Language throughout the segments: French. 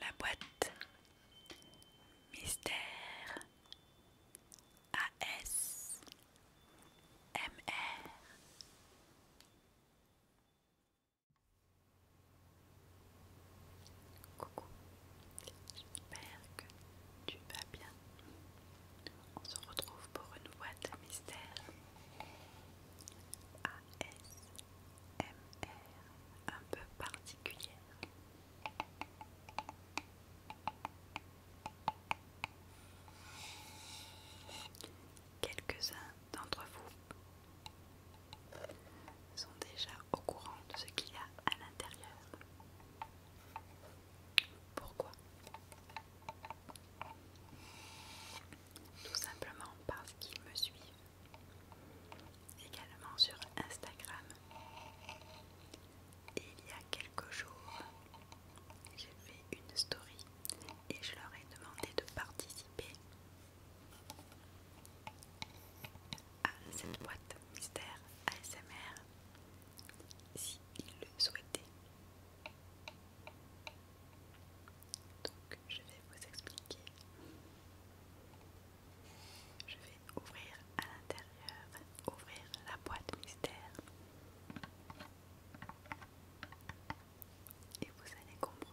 La boîte Mystère AS MR Coucou, j'espère que tu vas bien. On se retrouve pour une boîte mystère. ASMR un peu particulière. Quelques-uns d'entre vous sont déjà au courant de ce qu'il y a à l'intérieur. Pourquoi Tout simplement parce qu'ils me suivent. Également sur Instagram. Et il y a quelques jours, j'ai fait une story et je leur ai demandé de participer à cette boîte mystère ASMR s'il le souhaitait. Donc je vais vous expliquer. Je vais ouvrir à l'intérieur, ouvrir la boîte mystère. Et vous allez comprendre.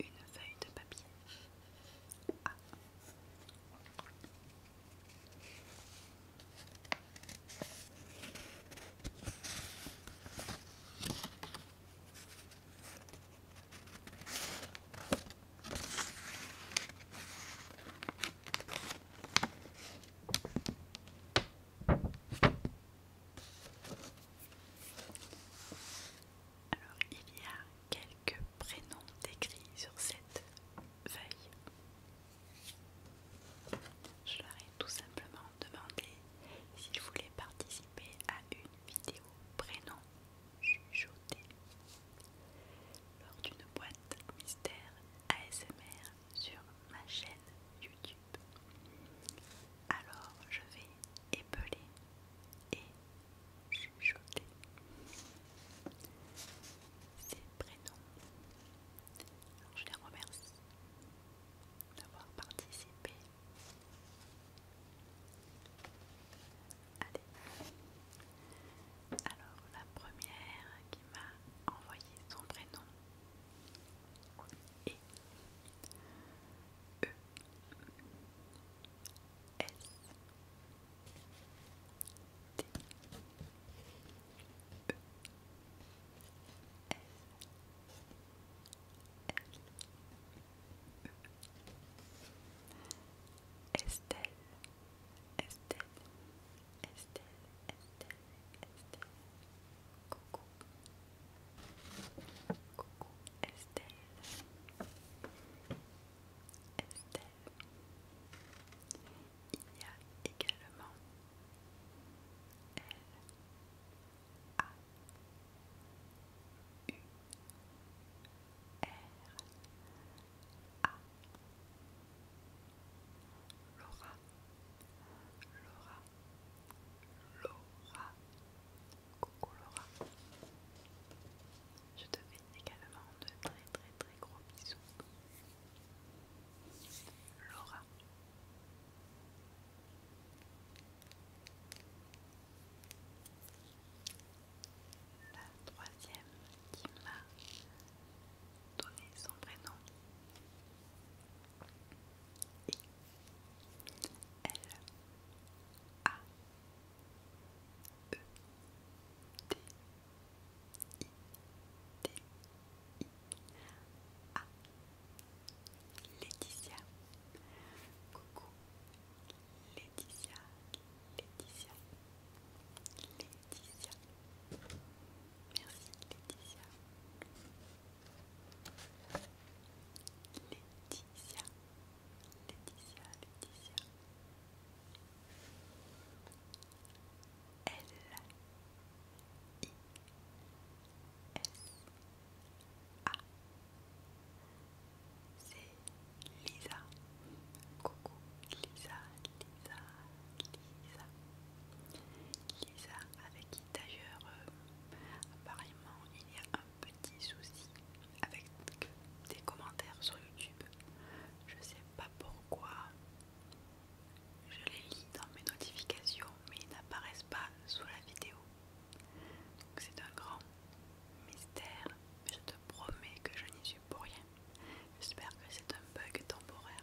Une feuille de papier. Ah. Alors, il y a quelques prénoms décrits sur cette feuille. Je leur ai tout simplement demandé s'ils voulaient participer à une vidéo prénom chuchoté lors d'une boîte mystère ASMR sur ma chaîne YouTube. Alors je vais épeler et chuchoter ses prénoms. Alors je les remercie d'avoir participé. Allez. Alors la première qui m'a envoyé son prénom E E S T E S Estelle, Estelle, Estelle, Estelle, Estelle. Coucou. Coucou Estelle. Estelle. Il y a également L A U R A Laura, Laura, Laura, coucou Laura. Je te fais également de très très très gros bisous. Laura. La troisième qui m'a donné son prénom I L A E T, I T, I A Laetitia Coucou Laetitia Laetitia Laetitia Laetitia. Merci Laetitia. Laetitia. Laetitia, Laetitia. L S A. Lisa. Coucou Lisa, Lisa, Lisa avec qui d'ailleurs euh, apparemment il y a un petit souci avec des commentaires sur YouTube. Je sais pas pourquoi. Je les lis dans mes notifications, mais ils n'apparaissent pas sous la vidéo. Donc c'est un grand mystère. Je te promets que je n'y suis pour rien. J'espère que c'est un bug temporaire.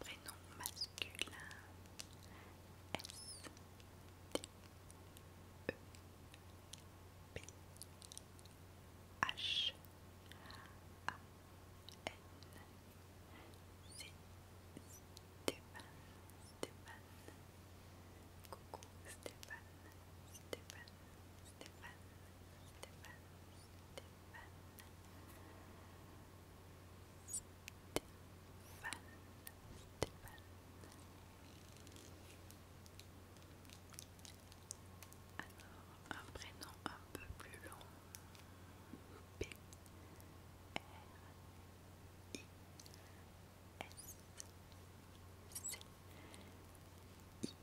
Prénom masculin S T E P H A N C Stéphane Coucou alors, un prénom un peu plus long. P R I S C I L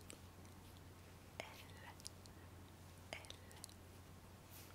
L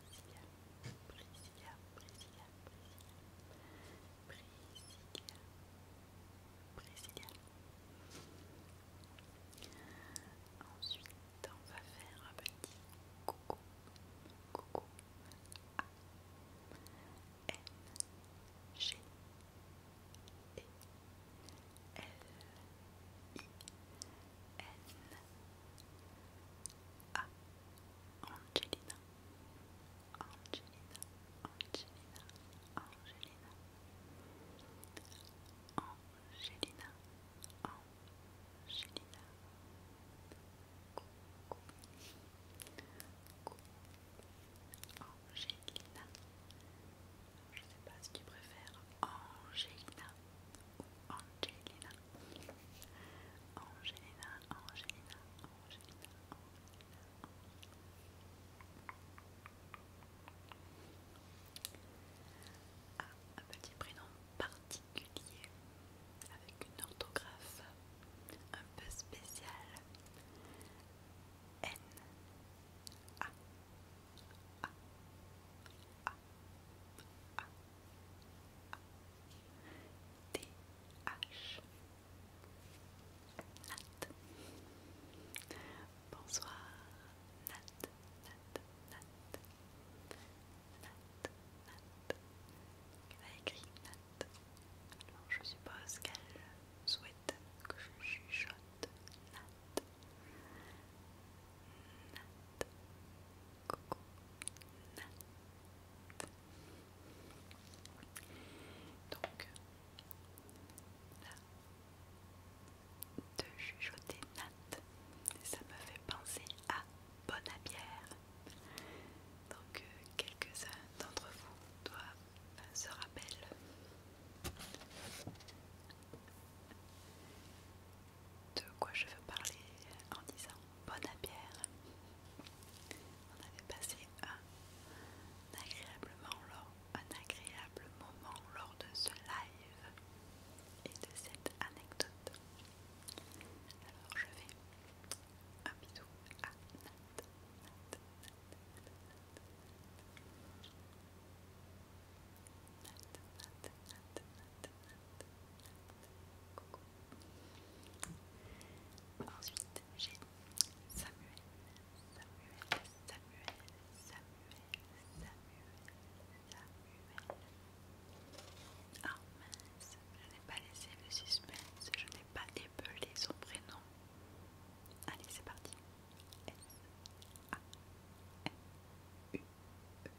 Priscilla, Priscilla, Priscilla, Priscilla, Ensuite, on va faire un petit coucou, coucou à N, G, E, L, I, N, A, Angelina, Angelina, Angelina, Angelina, Je ne sais pas ce tu préfères, Angelina ou Angelina. Angelina, Angelina, ah, un petit prénom particulier avec une orthographe un peu spéciale. N H Nat. Bonsoir. Nat, Nat, Nat. Nat, Nat. Elle a écrit Nat. je suppose qu'elle souhaite que je chuchote Nat. Nat. Coucou. Nat. Donc là, de chuchoter Nat, ça me fait penser à bonne bière. Donc euh, quelques-uns d'entre vous doivent euh, se rappeler de quoi je veux parler en disant bonne à bière. On avait passé un agréablement un agréable moment lors de ce live et de cette anecdote. Alors je vais un bisou à Ensuite, j'ai Samuel, Samuel, Samuel, Samuel, Samuel, Samuel. Ah mince, je n'ai pas laissé le suspense, je n'ai pas épelé son prénom. Allez, c'est parti. S A M U E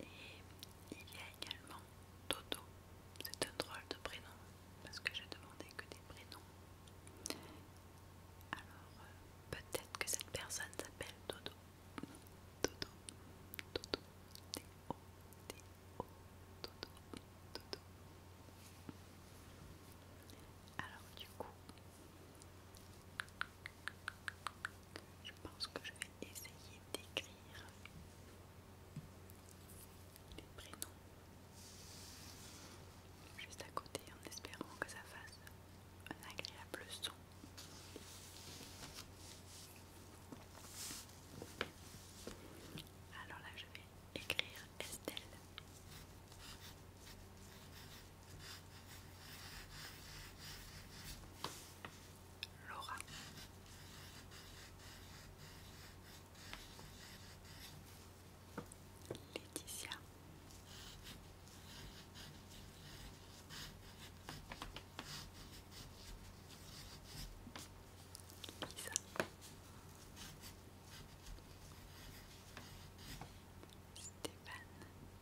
Et il y a également Toto. C'est un drôle de prénom parce que j'ai demandé que des prénoms. Alors euh, peut-être que cette personne s'appelle Dodo. Dodo, Dodo, Alors du coup, je pense que je vais essayer d'écrire les prénoms juste à côté en espérant que ça fasse un agréable son. Alors là, je vais écrire Estelle. Laura. Laetitia. Lisa. Stéphane.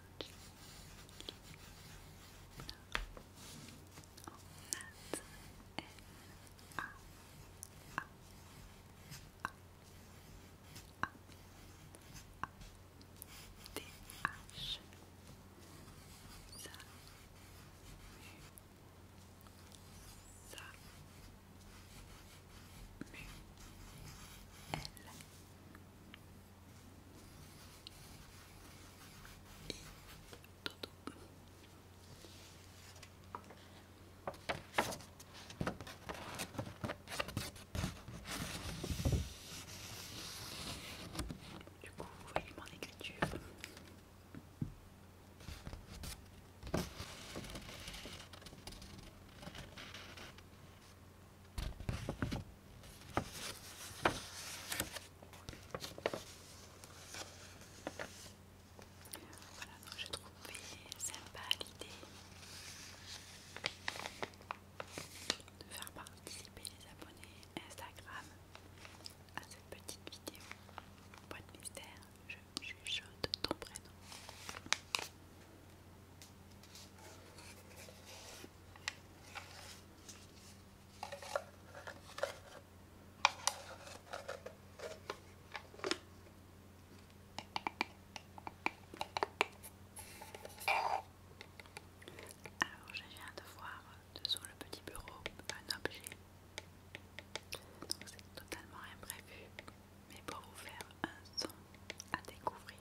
L et Du coup, vous voyez mon écriture. Voilà, donc j'ai trouvé sympa l'idée de faire participer les abonnés Instagram à cette petite vidéo. Point mystère, je chuchote ton prénom. Alors je viens de voir dessous le petit bureau un objet. c'est totalement imprévu, mais pour vous faire un son à découvrir.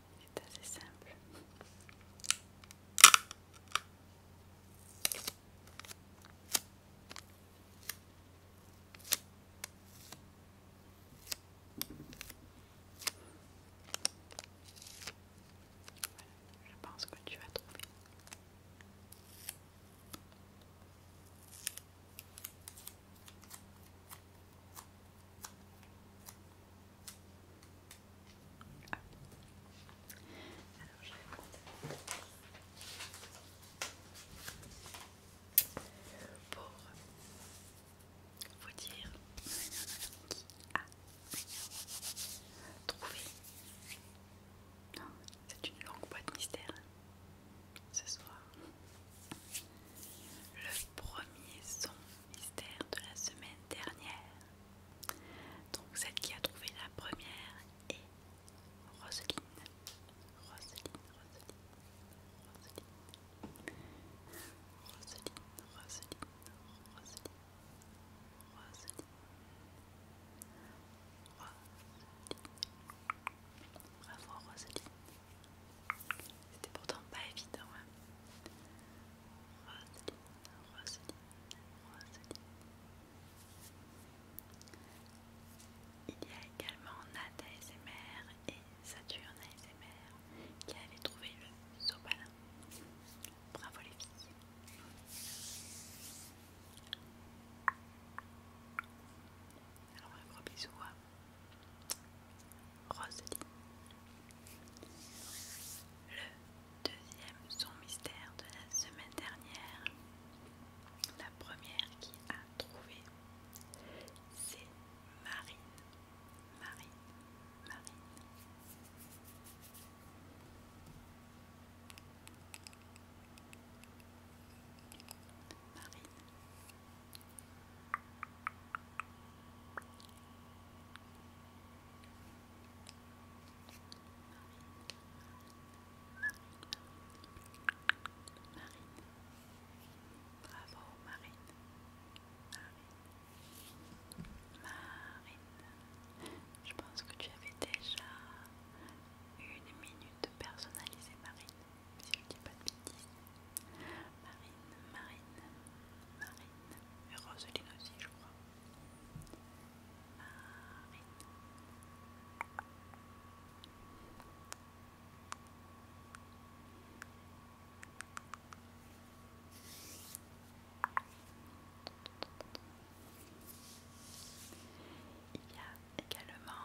C'est assez simple. Voilà, je pense que tu vas trouver. Alors, je vais pour vous dire qui a C'est une longue boîte mystère ce soir le premier son mystère de la semaine dernière. Donc celle qui a trouvé la première est Roseline. Roselyne, Roselyne, Roselyne. Roselyne, Roselyne, Roselyne. Bravo Roselyne. C'était pourtant pas évident. Hein. Roselyne, Roselyne, Il y a également Nat ASMR et Saturne ASMR qui avaient trouver le sopalin. Bravo les filles. Alors un gros bisou Rosalie. Le deuxième son mystère de la semaine dernière, la première qui a trouvé, c'est Marine. Marine, Marine. Marine, Marine Bravo Marine. Marine. Marine. Je pense que tu avais déjà une minute personnalisée Marine il qui a pas de bêtises. Marine, Marine, Marine, et Roseline aussi, je crois. Marine. Il y a également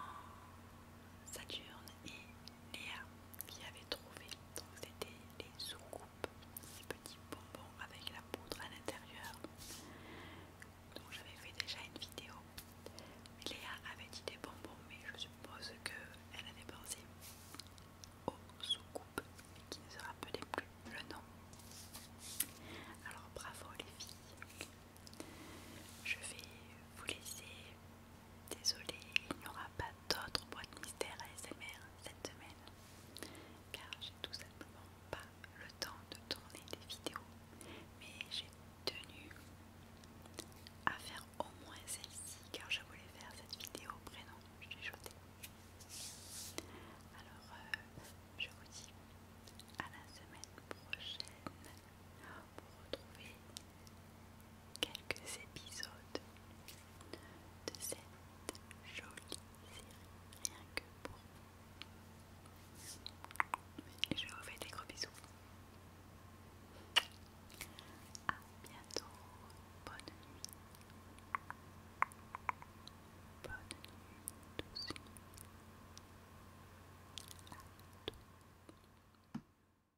Saturne et Léa qui avait trouvé. Donc c'était les soucoupes, ces petits bonbons avec la poudre à l'intérieur. Donc j'avais fait déjà une vidéo. Léa avait dit des bonbons, mais je suppose qu'elle avait pensé aux soucoupes coupes qui ne se rappelait plus le nom. Alors bravo les filles. Je vais vous laisser Désolée, il n'y aura pas d'autres boîtes mystères ASMR cette semaine car j'ai tout simplement pas le temps de tourner des vidéos mais j'ai tenu à faire au moins celle-ci car je voulais faire cette vidéo prénom jetée alors euh, je vous dis à la semaine prochaine pour retrouver quelques épisodes de cette jolie série rien que pour vous. je vous fais des gros bisous. À bientôt. Bonne nuit. Bonne nuit.